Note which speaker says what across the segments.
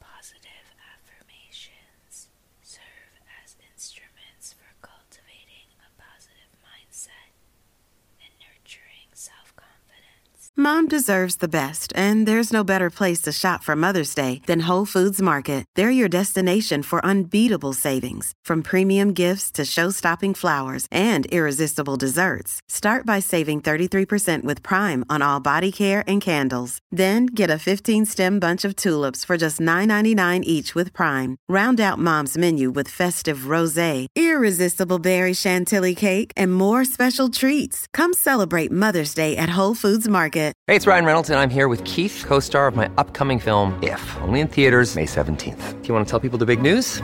Speaker 1: Positive affirmations serve as instruments for cultivating a positive mindset and nurturing self confidence. Mom deserves the best, and there's no better place to shop for Mother's Day than Whole Foods Market. They're your destination for unbeatable savings, from premium gifts to show stopping flowers and irresistible desserts. Start by saving 33% with Prime on all body care and candles. Then get a 15 stem bunch of tulips for just $9.99 each with Prime. Round out mom's menu with festive rose, irresistible berry chantilly cake, and more special treats. Come celebrate Mother's Day at Whole Foods Market. Hey, it's Ryan Reynolds, I'm here with Keith, co star of my upcoming film, If, only in theaters, May 17th. Do you want to tell people the big news?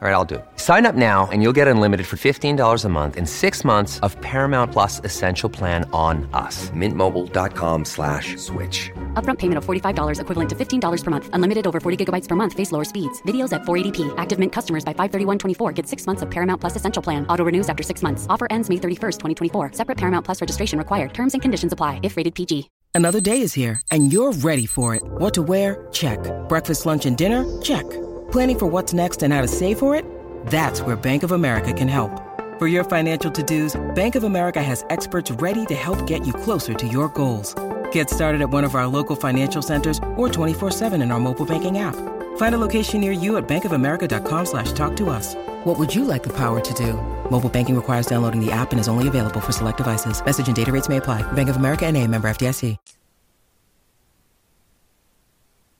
Speaker 1: All right, I'll do it. Sign up now and you'll get unlimited for $15 a month in six months Paramount Plus Essential Plan on us. Mintmobile.com slash switch. Upfront payment of $45 equivalent to $15 per month. Unlimited over 40 gigabytes per month. Face lower speeds. Videos at 480p. Active Mint customers by 531.24 get six months of Paramount Plus Essential Plan. Auto renews after six months. Offer ends May 31st, 2024. Separate Paramount Plus registration required. Terms and conditions apply if rated PG. Another day is here and you're ready for it. What to wear? Check. Breakfast, lunch, and dinner? Check. Planning for what's next and how to save for it? That's where Bank of America can help. For your financial to-dos, Bank of America has experts ready to help get you closer to your goals. Get started at one of our local financial centers or 24-7 in our mobile banking app. Find a location near you at bankofamerica.com slash talk to us. What would you like the power to do? Mobile banking requires downloading the app and is only available for select devices. Message and data rates may apply. Bank of America and a member FDIC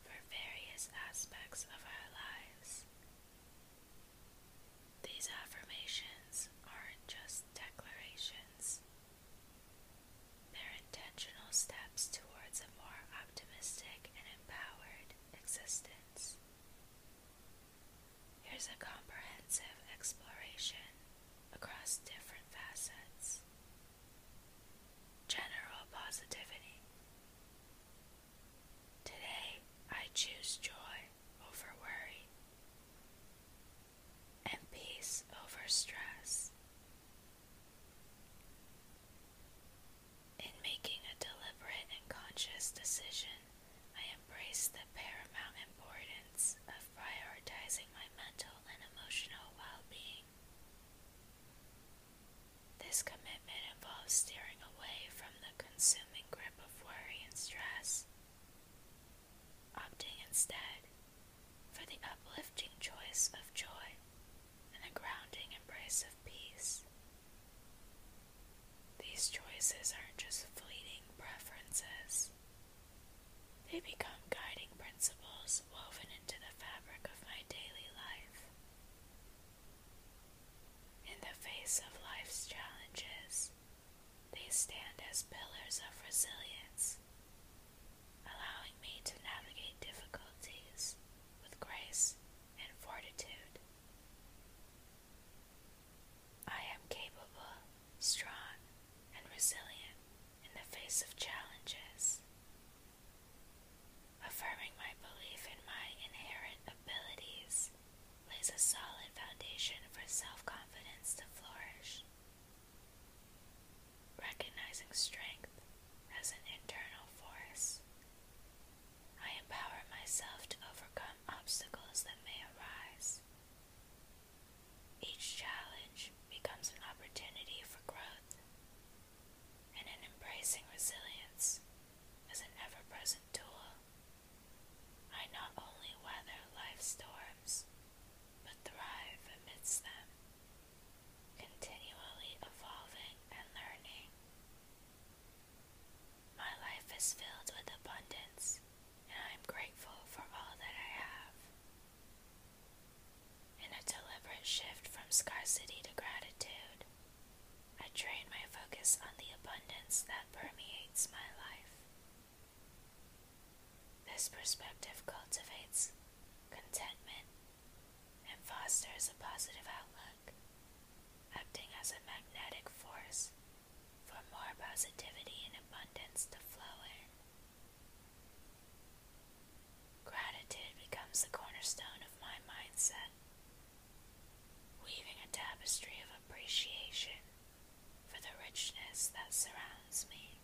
Speaker 1: for various aspects of our lives. These affirmations aren't just declarations, they're intentional steps towards a more optimistic and empowered existence. Here's a comprehensive exploration across different facets General positivity. Today I choose joy over worry and peace over stress. In making a deliberate and conscious decision, I embrace the paramount importance of prioritizing my mental and emotional well being. This commitment involves steering away from the consuming grip of worry and stress, opting instead for the uplifting choice of joy and the grounding embrace of peace. These choices aren't just fleeting preferences. They become guiding principles woven into the fabric of my daily life. In the face of life's challenges, they stand as pillars of resilience, allowing me to navigate difficulties with grace and fortitude. I am capable strong, and resilient in the face of challenges. Affirming my belief in my inherent abilities lays a solid foundation for self confidence to flourish. Recognizing strength as an internal force, I empower myself to overcome obstacles that may arise. Each challenge becomes an opportunity for growth, and in embracing resilience as an ever present tool, I not only weather life's storms, but thrive amidst them, continually evolving and learning. My life is filled with abundance, and I am grateful for all that I have. In a deliberate shift from scarcity to gratitude, I train my focus on the abundance that permeates my life. This perspective cultivates contentment and fosters a positive outlook, acting as a magnetic force for more positivity and abundance to flow in. Gratitude becomes the cornerstone of my mindset, weaving a tapestry of appreciation for the richness that surrounds me.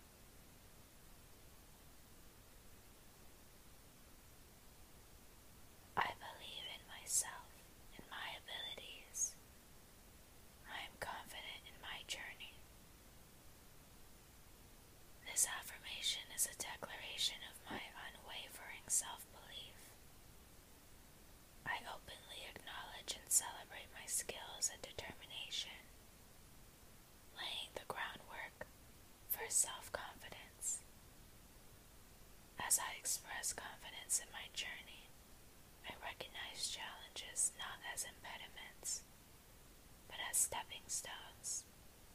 Speaker 1: I believe in myself and my abilities, I am confident in my journey. This affirmation is a declaration of my unwavering self belief. I openly acknowledge and celebrate my skills and determination, laying the groundwork for self confidence. As I express confidence in my journey, I recognize challenges not as impediments, but as stepping stones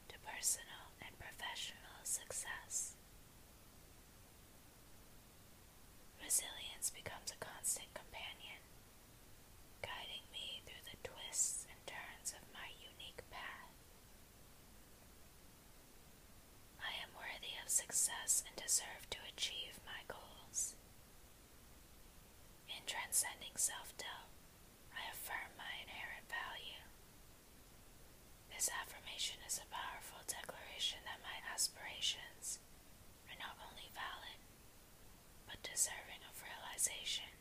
Speaker 1: to personal and professional success. Resilience becomes a constant companion, guiding me through the twists and turns of my unique path. I am worthy of success and deserve to achieve my goals, in transcending self doubt, I affirm my inherent value. This affirmation is a powerful declaration that my aspirations are not only valid, but deserving of realization.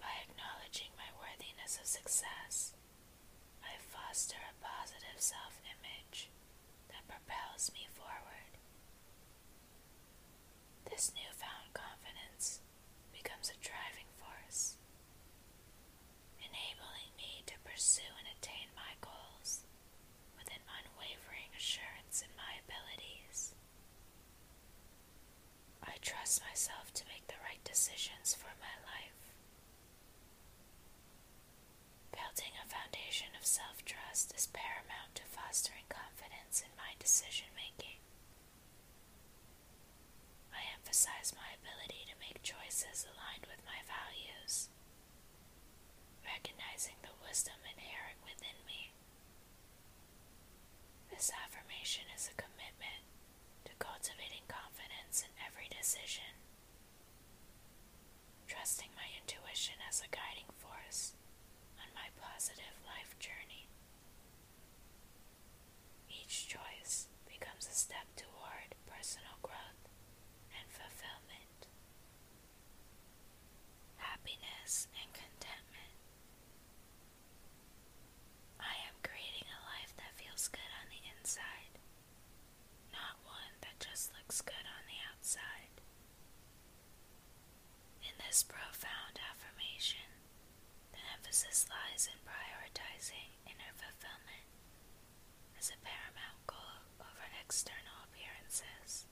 Speaker 1: By acknowledging my worthiness of success, I foster a positive self image that propels me forward. This newfound confidence becomes a driving force, enabling me to pursue and attain my goals with an unwavering assurance in my abilities. I trust myself to make the right decisions for my life. Building a foundation of self trust is paramount to fostering confidence in my decision making. I emphasize my ability to make choices aligned with my values, recognizing the wisdom inherent within me. This affirmation is a commitment to cultivating confidence in every decision Trusting my intuition as a guiding force on my positive life journey. Each choice becomes a step toward personal growth and fulfillment. Happiness and contentment. I am creating a life that feels good on the inside not one that just looks good on the outside. In this profound affirmation, the emphasis lies in prioritizing inner fulfillment as a paramount goal over external appearances.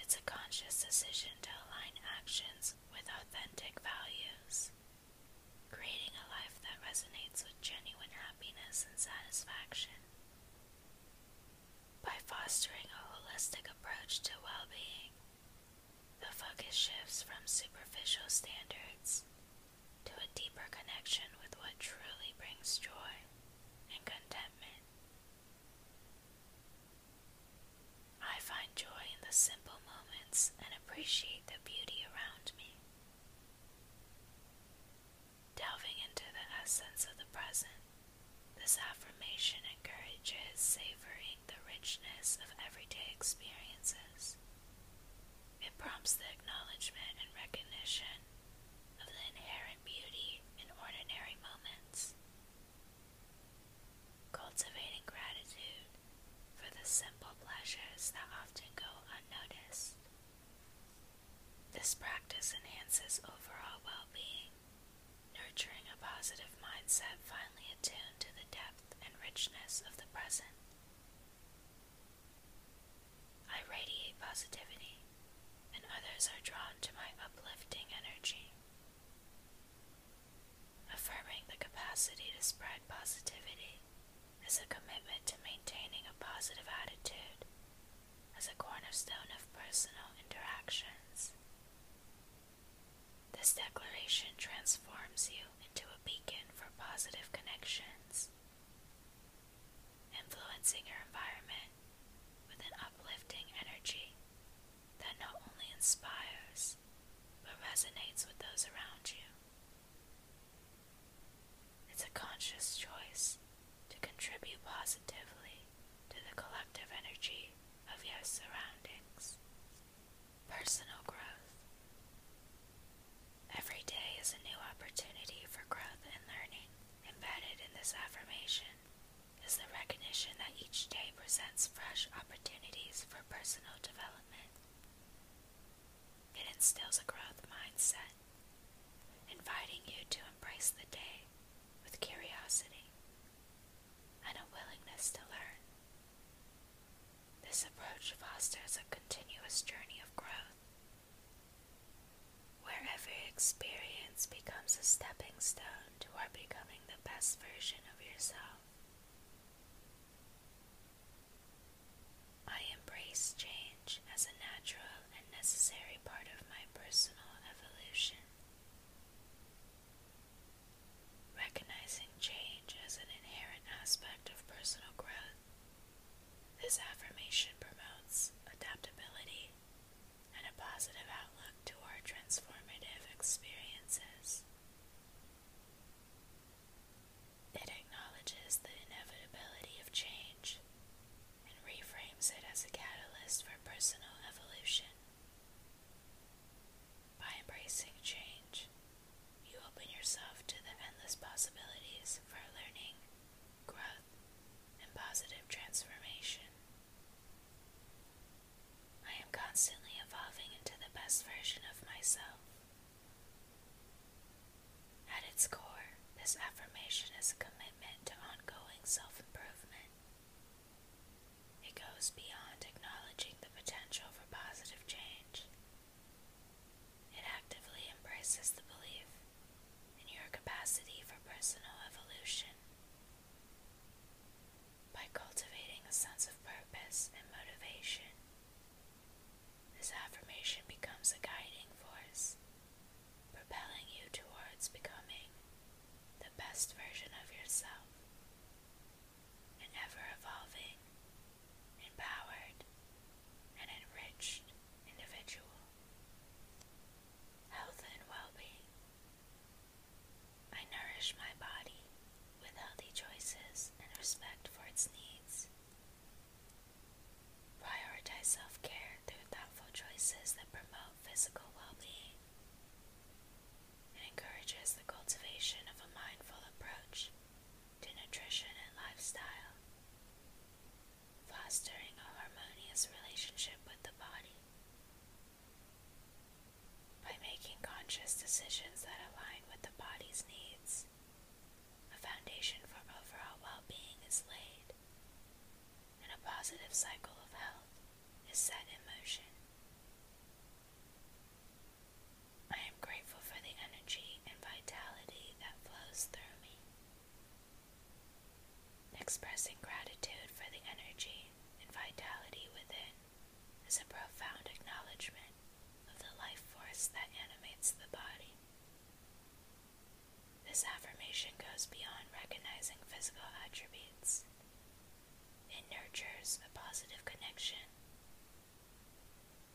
Speaker 1: It's a conscious decision to align actions with authentic values creating a life that resonates with genuine happiness and satisfaction. By fostering a holistic approach to well being, the focus shifts from superficial standards to a deeper connection with what truly brings joy and contentment. I find joy in the simple moments and appreciate the beauty around me. Delving into the essence of the present, this affirmation encourages savoring the richness of everyday experiences. It prompts the acknowledgement and recognition of the inherent beauty in ordinary moments. Cultivating gratitude for the simple pleasures that often go unnoticed. This practice enhances overall well being, nurturing a positive mindset finely attuned to the depth and richness of the present. I radiate positivity, and others are drawn to my uplifting energy. Affirming the capacity to spread positivity is a commitment to maintaining a positive attitude as a cornerstone of personal interactions. This declaration transforms you into a beacon for positive connections, influencing your environment with an uplifting energy that not only inspires but resonates with those around you. It's a conscious choice to contribute positively to the collective energy of your surroundings. Personal growth. Every day is a new opportunity for growth and learning. Embedded in this affirmation is the recognition that each day presents fresh opportunities for personal development. It instills a growth mindset, inviting you to embrace the day with curiosity and a willingness to learn. This approach fosters a continuous journey of growth, where every experience becomes a stepping stone toward becoming the best version of yourself. I embrace change as a natural and necessary part of my personal evolution. Recognizing change as an inherent aspect of personal growth, this affirmation promotes adaptability and a positive outlook toward transformative experiences. It acknowledges the inevitability of change and reframes it as a catalyst for personal evolution. By embracing change, you open yourself to the endless possibilities for learning, growth, and positive transformation. I am constantly evolving into the best version of myself. At its core, this affirmation is a commitment to ongoing self improvement. It goes beyond acknowledging the potential for positive change, it actively embraces the belief in your capacity for personal evolution by cultivating a sense of purpose and motivation. This affirmation becomes a guiding force, propelling you towards becoming the best version of yourself, an ever evolving, empowered, and enriched individual. Health and well being. I nourish my body with healthy choices and respect for its needs. Prioritize self care through thoughtful choices that promote physical well being and encourages the cultivation of a mindful approach to nutrition and lifestyle, fostering a harmonious relationship with the body by making conscious decisions that align with the body's needs, a foundation for overall well being is laid, and a positive cycle of health is set in motion. I am grateful for the energy and vitality that flows through me. Expressing gratitude for the energy and vitality within is a profound acknowledgement of the life force that animates the body. This affirmation goes beyond recognizing physical attributes, it nurtures a positive connection,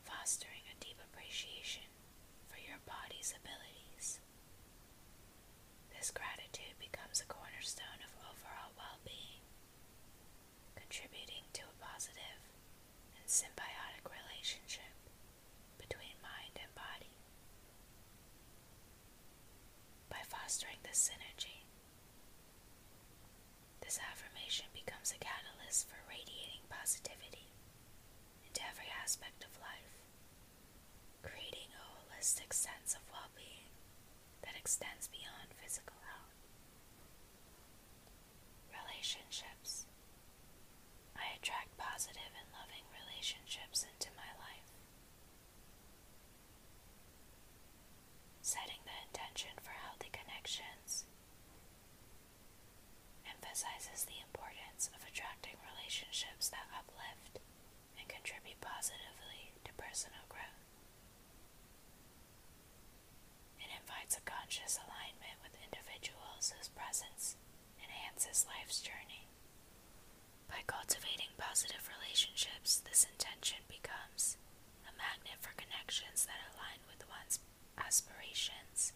Speaker 1: fostering a deep appreciation for your body's abilities this gratitude becomes a cornerstone of overall well being, contributing to a positive and symbiotic relationship between mind and body. By fostering this synergy, this affirmation becomes a catalyst for radiating positivity into every aspect of life, creating a holistic sense of well being that extends beyond physical health. Relationships. I attract positive and loving relationships into my life. Setting the intention for healthy connections emphasizes the importance of attracting relationships that uplift and contribute positively to personal growth. It invites a conscious alignment with individuals whose presence enhances life's journey. By cultivating positive relationships, this intention becomes a magnet for connections that align with one's aspirations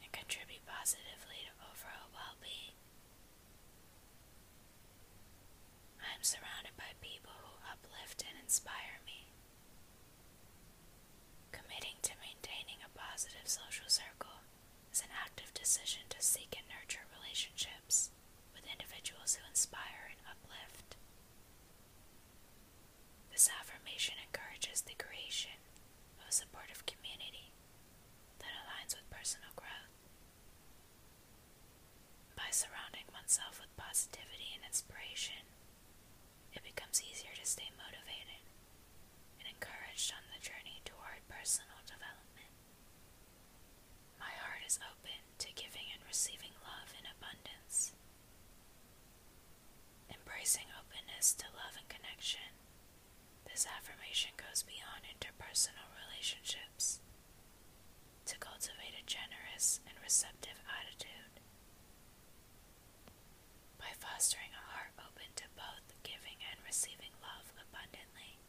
Speaker 1: and contribute positively to overall well being I am surrounded by people who uplift and inspire me. Committing to maintaining a positive social circle is an active decision to seek and nurture relationships with individuals who inspire and uplift. This affirmation encourages the creation of a supportive community that aligns with personal growth by surrounding oneself with positivity and inspiration, it becomes easier to stay motivated and encouraged on the journey toward personal development. My heart is open to giving and receiving love in abundance. Embracing openness to love and connection this affirmation goes beyond interpersonal relationships. To cultivate a generous and receptive attitude. By fostering a heart open to both giving and receiving love abundantly,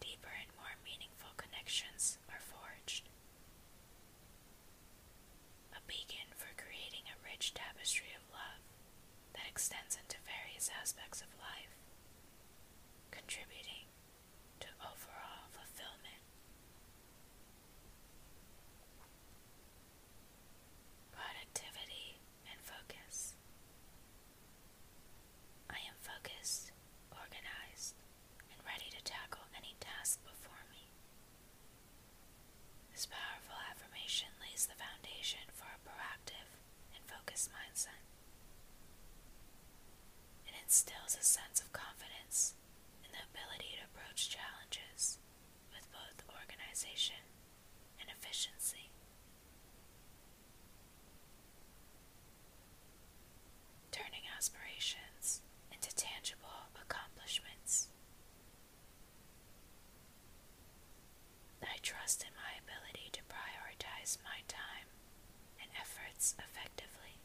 Speaker 1: deeper and more meaningful connections are forged. A beacon for creating a rich tapestry of love that extends into various aspects of life, contributing to overall fulfillment. Productivity and focus. I am focused, organized, and ready to tackle any task before me. This powerful affirmation lays the foundation for a proactive and focus mindset. It instills a sense of confidence in the ability to approach challenges with both organization and efficiency. Turning aspirations into tangible accomplishments. I trust in my ability to prioritize my time and efforts effectively.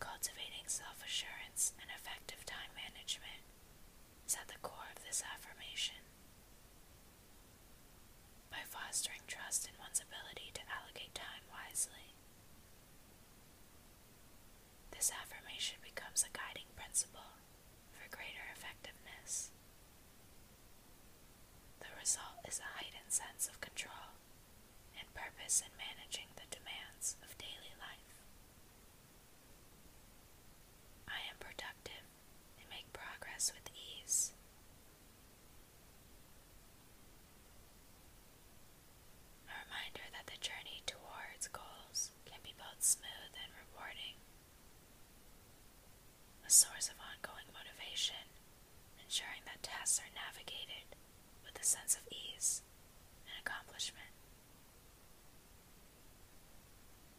Speaker 1: Cultivating self assurance and effective time management is at the core of this affirmation. By fostering trust in one's ability to allocate time wisely, this affirmation becomes a guiding principle for greater effectiveness. The result is a heightened sense of control and purpose in managing the demands of daily life. I am productive and make progress with ease. A reminder that the journey towards goals can be both smooth and rewarding. A source of ongoing motivation, ensuring that tasks are navigated with a sense of ease and accomplishment.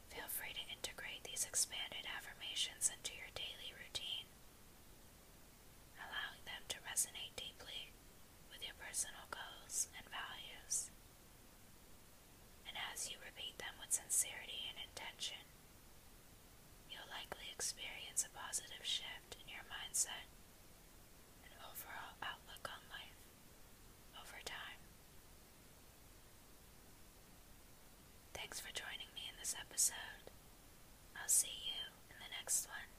Speaker 1: Feel free to integrate these expanded affirmations into your daily routine, allowing them to resonate deeply with your personal goals and values. And as you repeat them with sincerity and intention, you'll likely experience a positive shift in your mindset and overall outlook on life over time. Thanks for joining me in this episode. I'll see you in the next one.